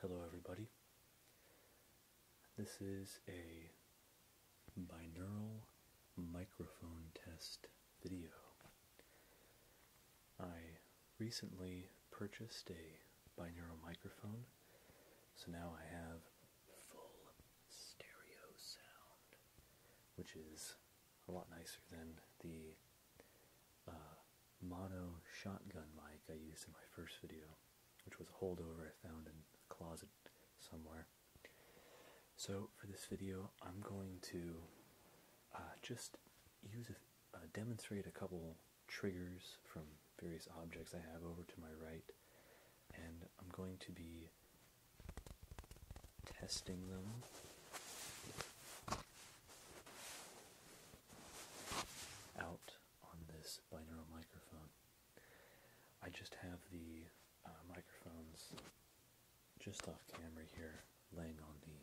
Hello everybody. This is a binaural microphone test video. I recently purchased a binaural microphone, so now I have full stereo sound, which is a lot nicer than the uh, mono shotgun mic I used in my first video, which was a holdover I found in a closet somewhere. So for this video, I'm going to uh, just use a, uh, demonstrate a couple triggers from various objects I have over to my right, and I'm going to be testing them out on this binaural microphone. I just have the uh, microphones just off camera here laying on the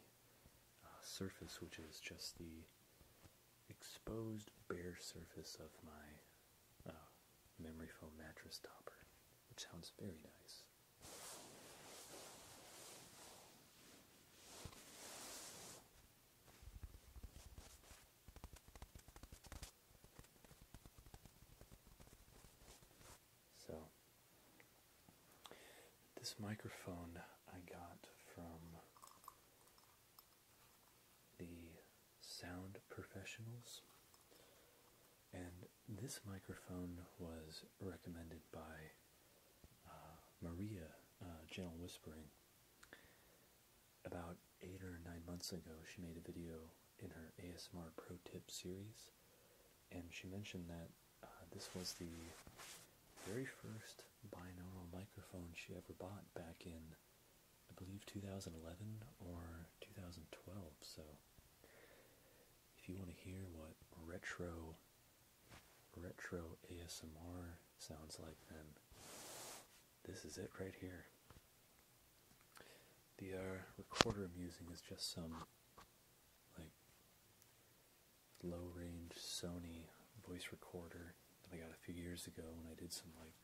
uh, surface, which is just the exposed bare surface of my uh, memory foam mattress topper, which sounds very nice. So, this microphone I got from the sound professionals, and this microphone was recommended by uh, Maria, uh, Gentle Whispering. About eight or nine months ago, she made a video in her ASMR Pro Tip series, and she mentioned that uh, this was the very first binaural microphone she ever bought back in, I believe, 2011 or 2012. So, if you want to hear what retro retro ASMR sounds like, them. this is it right here. The uh, recorder I'm using is just some like low range Sony voice recorder that I got a few years ago when I did some like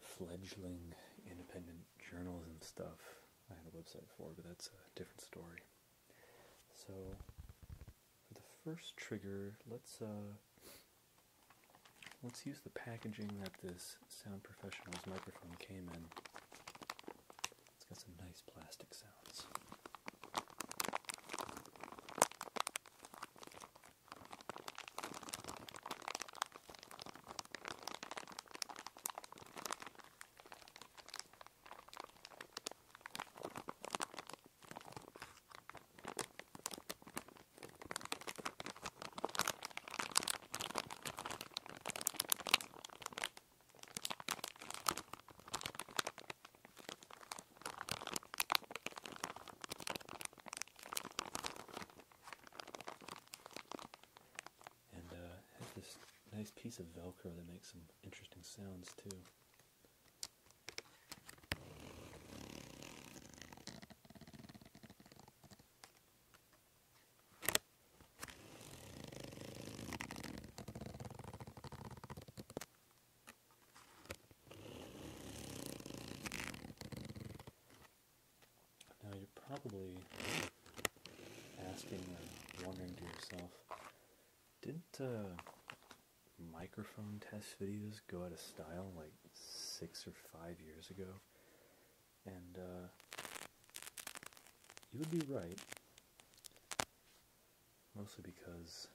fledgling independent journalism stuff. I had a website for, but that's a different story. So for the first trigger, let's uh, let's use the packaging that this Sound Professionals microphone came in. It's got some nice plastic sounds. And uh, has this nice piece of Velcro that makes some interesting sounds too. Now you're probably asking or wondering to yourself, didn't uh, microphone test videos go out of style like six or five years ago. And uh, you would be right. Mostly because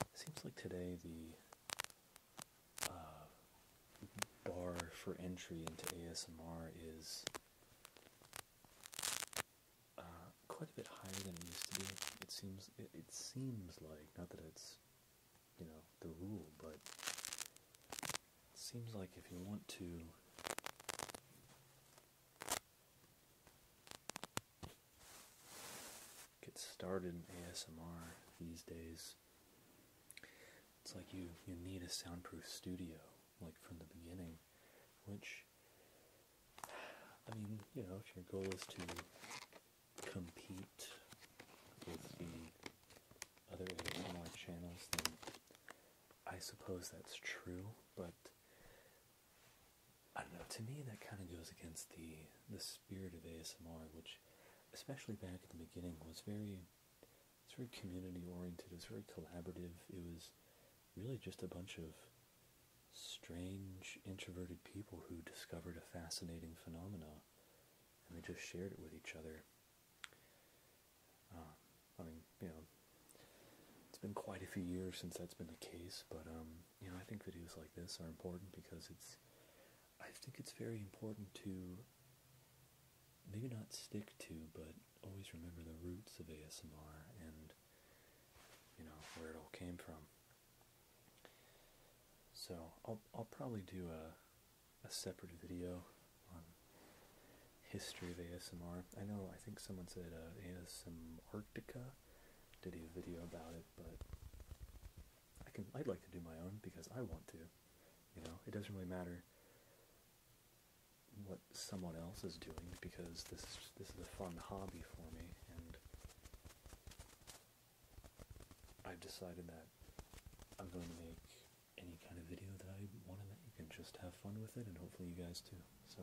it seems like today the uh, bar for entry into ASMR is uh, quite a bit higher than it used to be. It seems it, it seems like not that it's you know the rule, but it seems like if you want to get started in ASMR these days, it's like you you need a soundproof studio like from the beginning, which I mean, you know, if your goal is to compete with the other ASMR channels, then I suppose that's true, but I don't know, to me that kind of goes against the, the spirit of ASMR, which, especially back at the beginning, was very, it's very community oriented, It was very collaborative, it was really just a bunch of strange introverted people who discovered a fascinating phenomenon and they just shared it with each other. Um, I mean, you know, it's been quite a few years since that's been the case, but um, you know, I think videos like this are important because it's. I think it's very important to maybe not stick to, but always remember the roots of ASMR and you know where it all came from. So I'll I'll probably do a a separate video on history of ASMR. I know I think someone said uh, Arctica did a video about it, but I can I'd like to do my own because I want to. You know, it doesn't really matter what someone else is doing because this this is a fun hobby for me and I've decided that I'm going to make any kind of video that I want to make can just have fun with it, and hopefully, you guys too. So,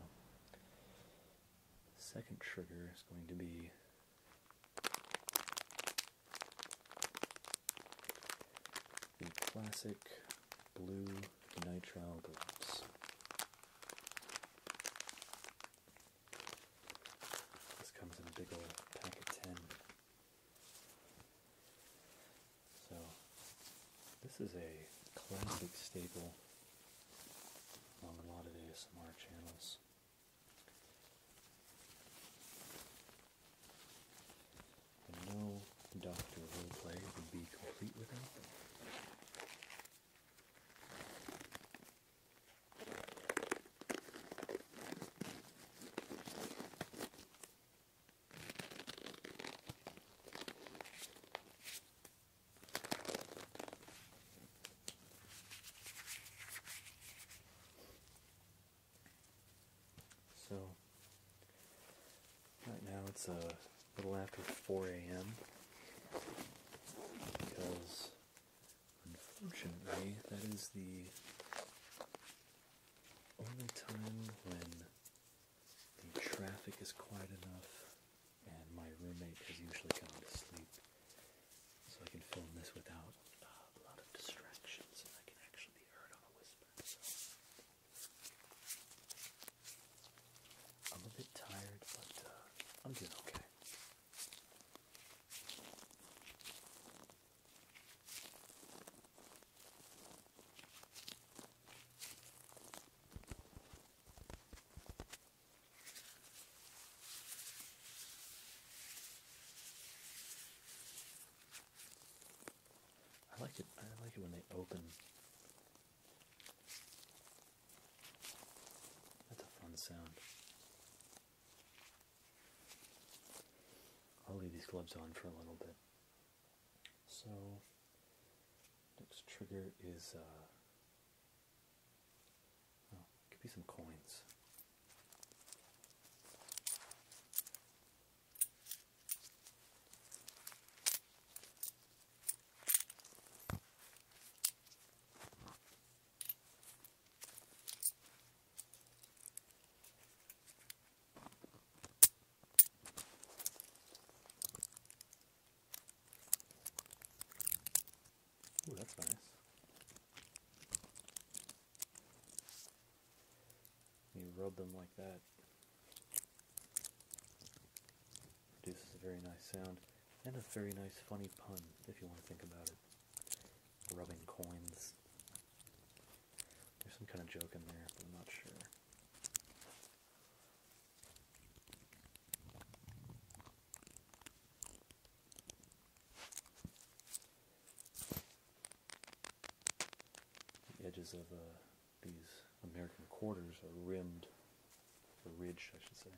second trigger is going to be the classic blue nitrile gloves. This comes in a big old pack of 10. So, this is a classic staple on a lot of ASMR channels. no Doctor Roleplay would be complete without so, right now it's a little after 4 a.m. because Unfortunately, that is the only time when the traffic is quiet enough and my roommate has usually gone to sleep. So I can film this without a lot of distractions and I can actually be heard on a whisper. So. I'm a bit tired, but uh, I'm doing okay. I like it. I like it when they open. That's a fun sound. I'll leave these gloves on for a little bit. So, next trigger is, uh, oh, could be some coins. Ooh, that's nice. You rub them like that. Produces a very nice sound. And a very nice, funny pun, if you want to think about it. Rubbing coins. There's some kind of joke in there, but I'm not sure. The edges of uh, these American quarters are rimmed, or ridged, I should say,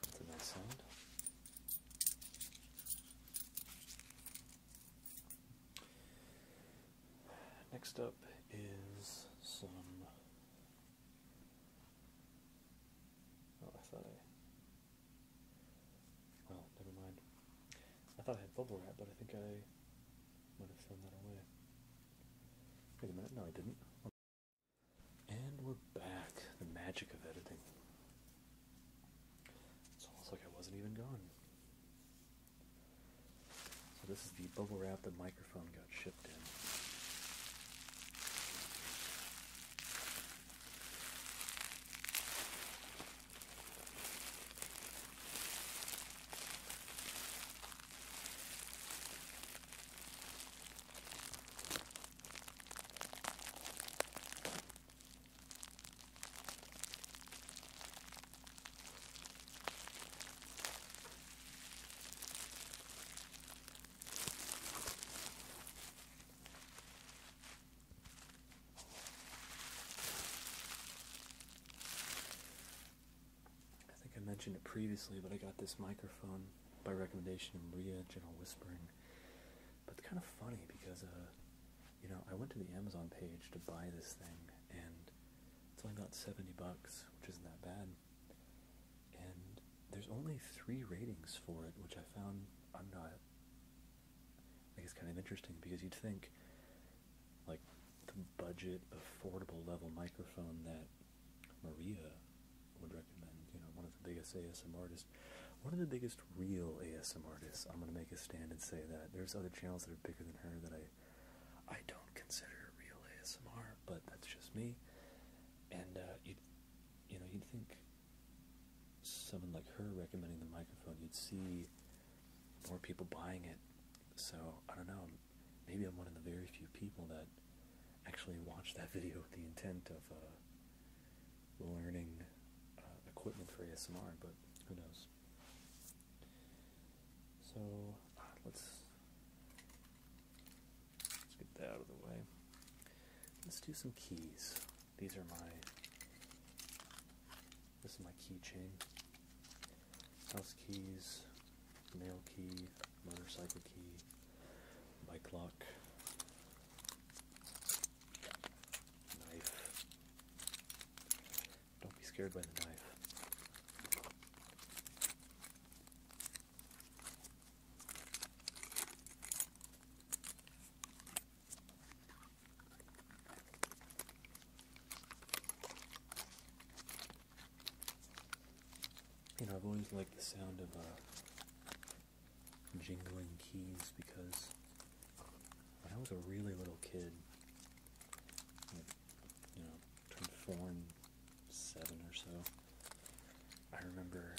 That's a nice sound. Next up is some. Oh, I thought I. Well, never mind. I thought I had bubble wrap, but I think I might have thrown that away. Wait a minute, no, I didn't. And we're back. The magic of editing. It's almost like I wasn't even gone. So this is the bubble wrap the microphone got shipped in. I think I mentioned it previously, but I got this microphone by recommendation of Maria Gentle Whispering. But it's kind of funny because, uh, you know, I went to the Amazon page to buy this thing, and it's only about 70 bucks, which isn't that bad. And there's only three ratings for it, which I found I'm not. I guess kind of interesting because you'd think, like, the budget affordable level microphone that Maria would recommend. You know, one of the biggest ASMR artists, one of the biggest real ASMR artists. I'm gonna make a stand and say that there's other channels that are bigger than her that I, I don't consider real ASMR, but that's just me. And uh, you, you know, you'd think someone like her recommending the microphone, you'd see more people buying it. So I don't know. Maybe I'm one of the very few people that actually watched that video with the intent of uh, learning uh, equipment for ASMR, but who knows? So ah, let's let's get that out of the way. Let's do some keys. These are my this is my keychain. House keys, mail key, motorcycle key, bike lock. Don't be scared by the knife. You know, I've always liked the sound of uh, jingling keys because when I was a really little kid, you know, turned four and seven or so, I remember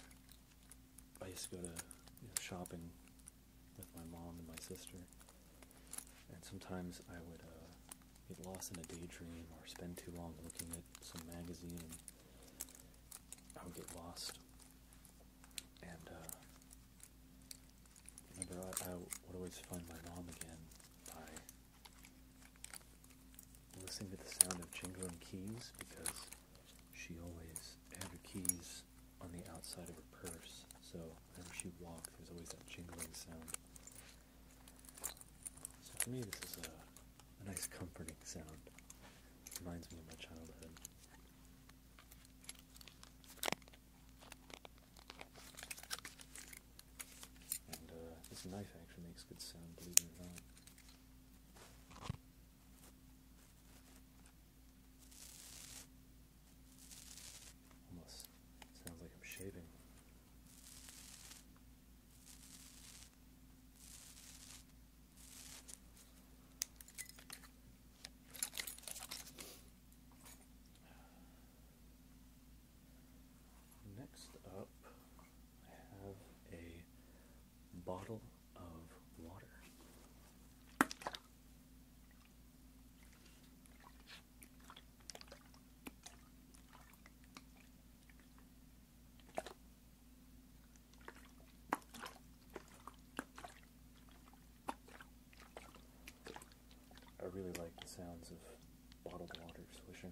I used to go to shopping with my mom and my sister, and sometimes I would uh, get lost in a daydream or spend too long looking at some magazine. And I would get lost and uh, remember, I, would always find my mom again by listening to the sound of jingling keys because she always had her keys on the outside of her purse. So whenever she walked, there was always that jingling sound. So for me, this is a, a nice comforting sound. Reminds me of my childhood. Uh, this knife actually makes good sound, believe it or not. Almost sounds like I'm shaving. Next up, I have a bottle of water. I really like the sounds of bottled water swishing.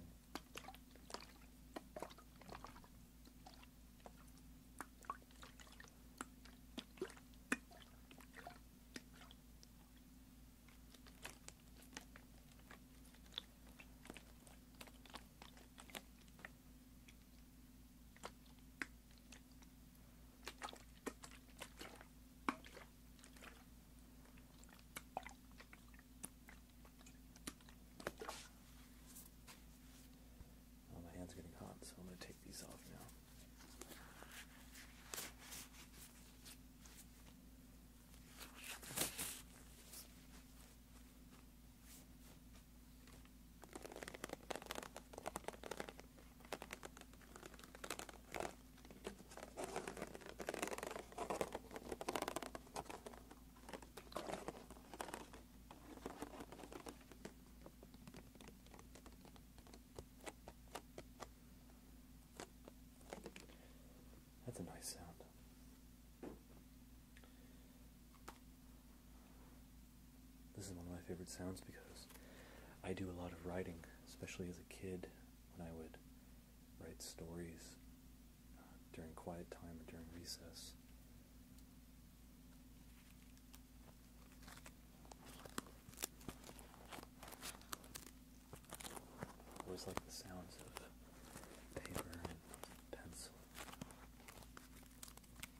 Oh, my hands are getting hot, so I'm going to take these off now. That's a nice sound. This is one of my favorite sounds because I do a lot of writing, especially as a kid when I would write stories uh, during quiet time or during recess. I always like the sounds of paper and pencil.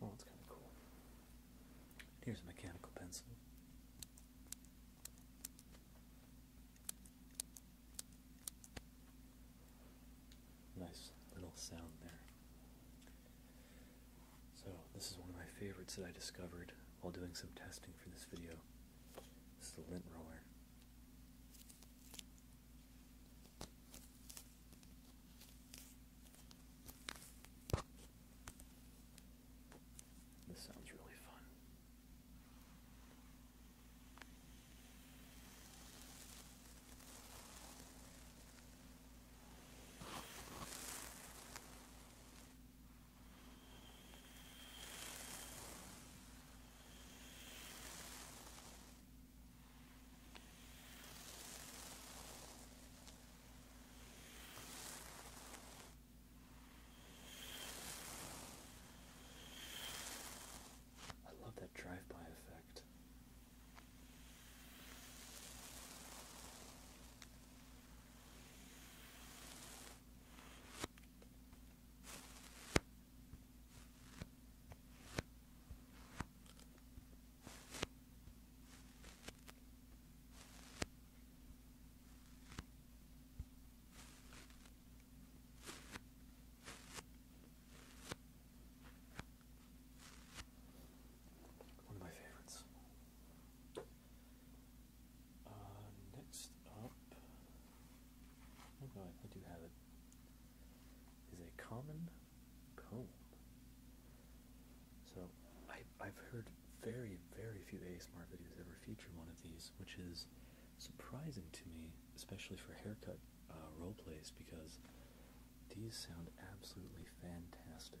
Well, oh, it's kind of cool. Here's a mechanical pencil. Nice little sound there. So, this is one of my favorites that I discovered while doing some testing for this video. It's the lint roller. This sounds really fun. I love that drive by effect. One of my favorites. Uh, next up, oh no, I do have it is a common comb. So I, I've heard very, very few ASMR videos ever feature one of these, which is surprising to me, especially for haircut uh, role plays, because these sound absolutely fantastic.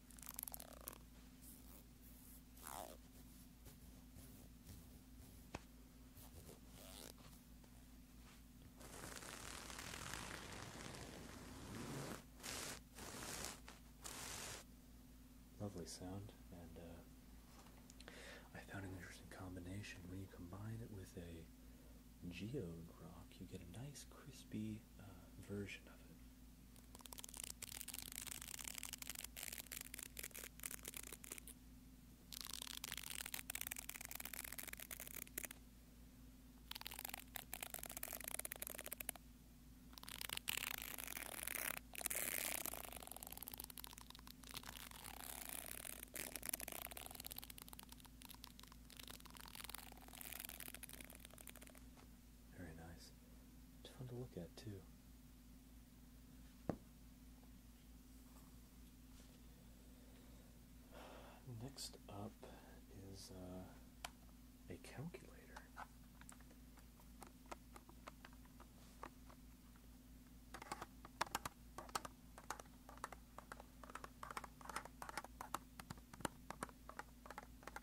Lovely sound, and uh, I found an interesting combination. When you combine it with a geode rock, you get a nice crispy uh, version of it. Very nice. It's fun to look at too. Next up is uh, a calculator.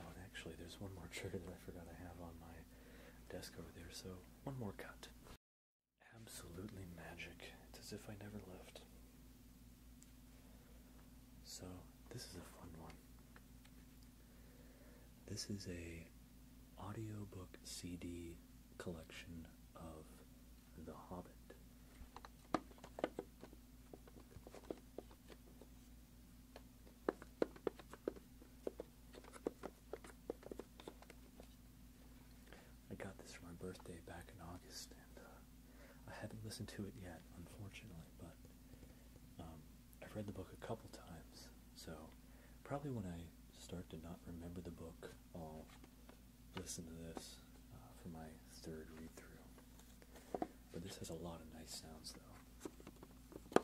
Oh, actually, there's one more trigger that I forgot I have on my desk over there, so one more cut. Absolutely magic. It's as if I never left. So, this is a fun one. This is a audiobook CD collection of The Hobbit. I got this for my birthday back in August, and uh, I haven't listened to it yet, unfortunately, but um, I've read the book a couple times, so probably when I start to not remember the book, I'll listen to this uh, for my third read through. But this has a lot of nice sounds, though.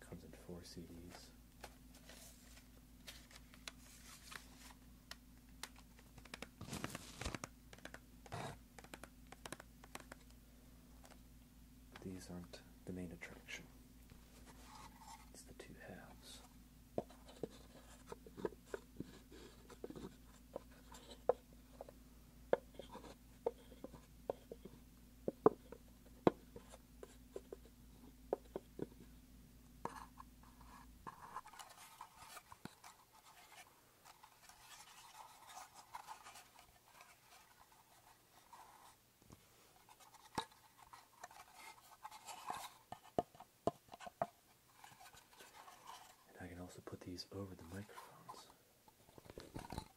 Comes in four CDs. These aren't the main attraction. It's the two halves. And I can also put these over the microphones.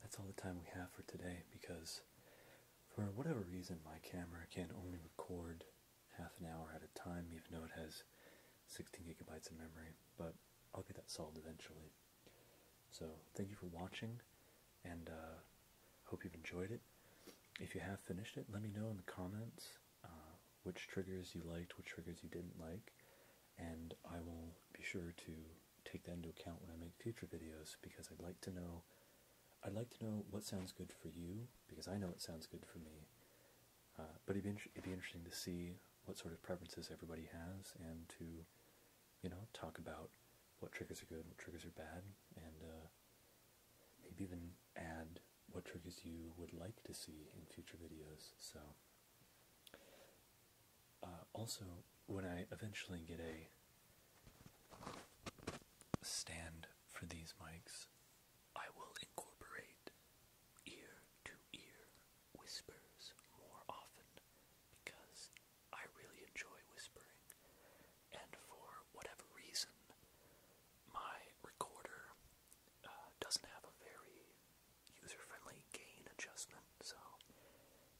that's all the time we have for today because for whatever reason my camera can only record half an hour at a time even though it has 16 gigabytes of memory but i'll get that solved eventually so thank you for watching and uh, hope you've enjoyed it if you have finished it let me know in the comments uh, which triggers you liked which triggers you didn't like and i will be sure to take that into account when I make future videos because I'd like to know I'd like to know what sounds good for you because I know it sounds good for me. Uh, but it'd be, it'd be interesting to see what sort of preferences everybody has and to, you know, talk about what triggers are good, what triggers are bad, and uh, maybe even add what triggers you would like to see in future videos. So uh, also, when I eventually get a stand for these mics, I will incorporate ear to ear whispers more often because I really enjoy whispering. And for whatever reason, my recorder uh, doesn't have a very user friendly gain adjustment. So,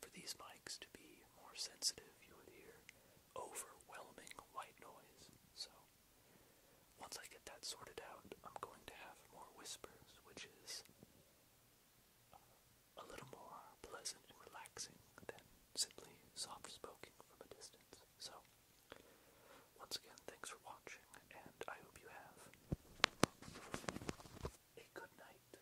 for these mics to be more sensitive, you would hear overwhelming white noise. So, once I get that sorted out, I'm going to have more whispers, which is uh, a little more pleasant and relaxing than simply soft spoken from a distance. So, once again, thanks for watching, and I hope you have a good night.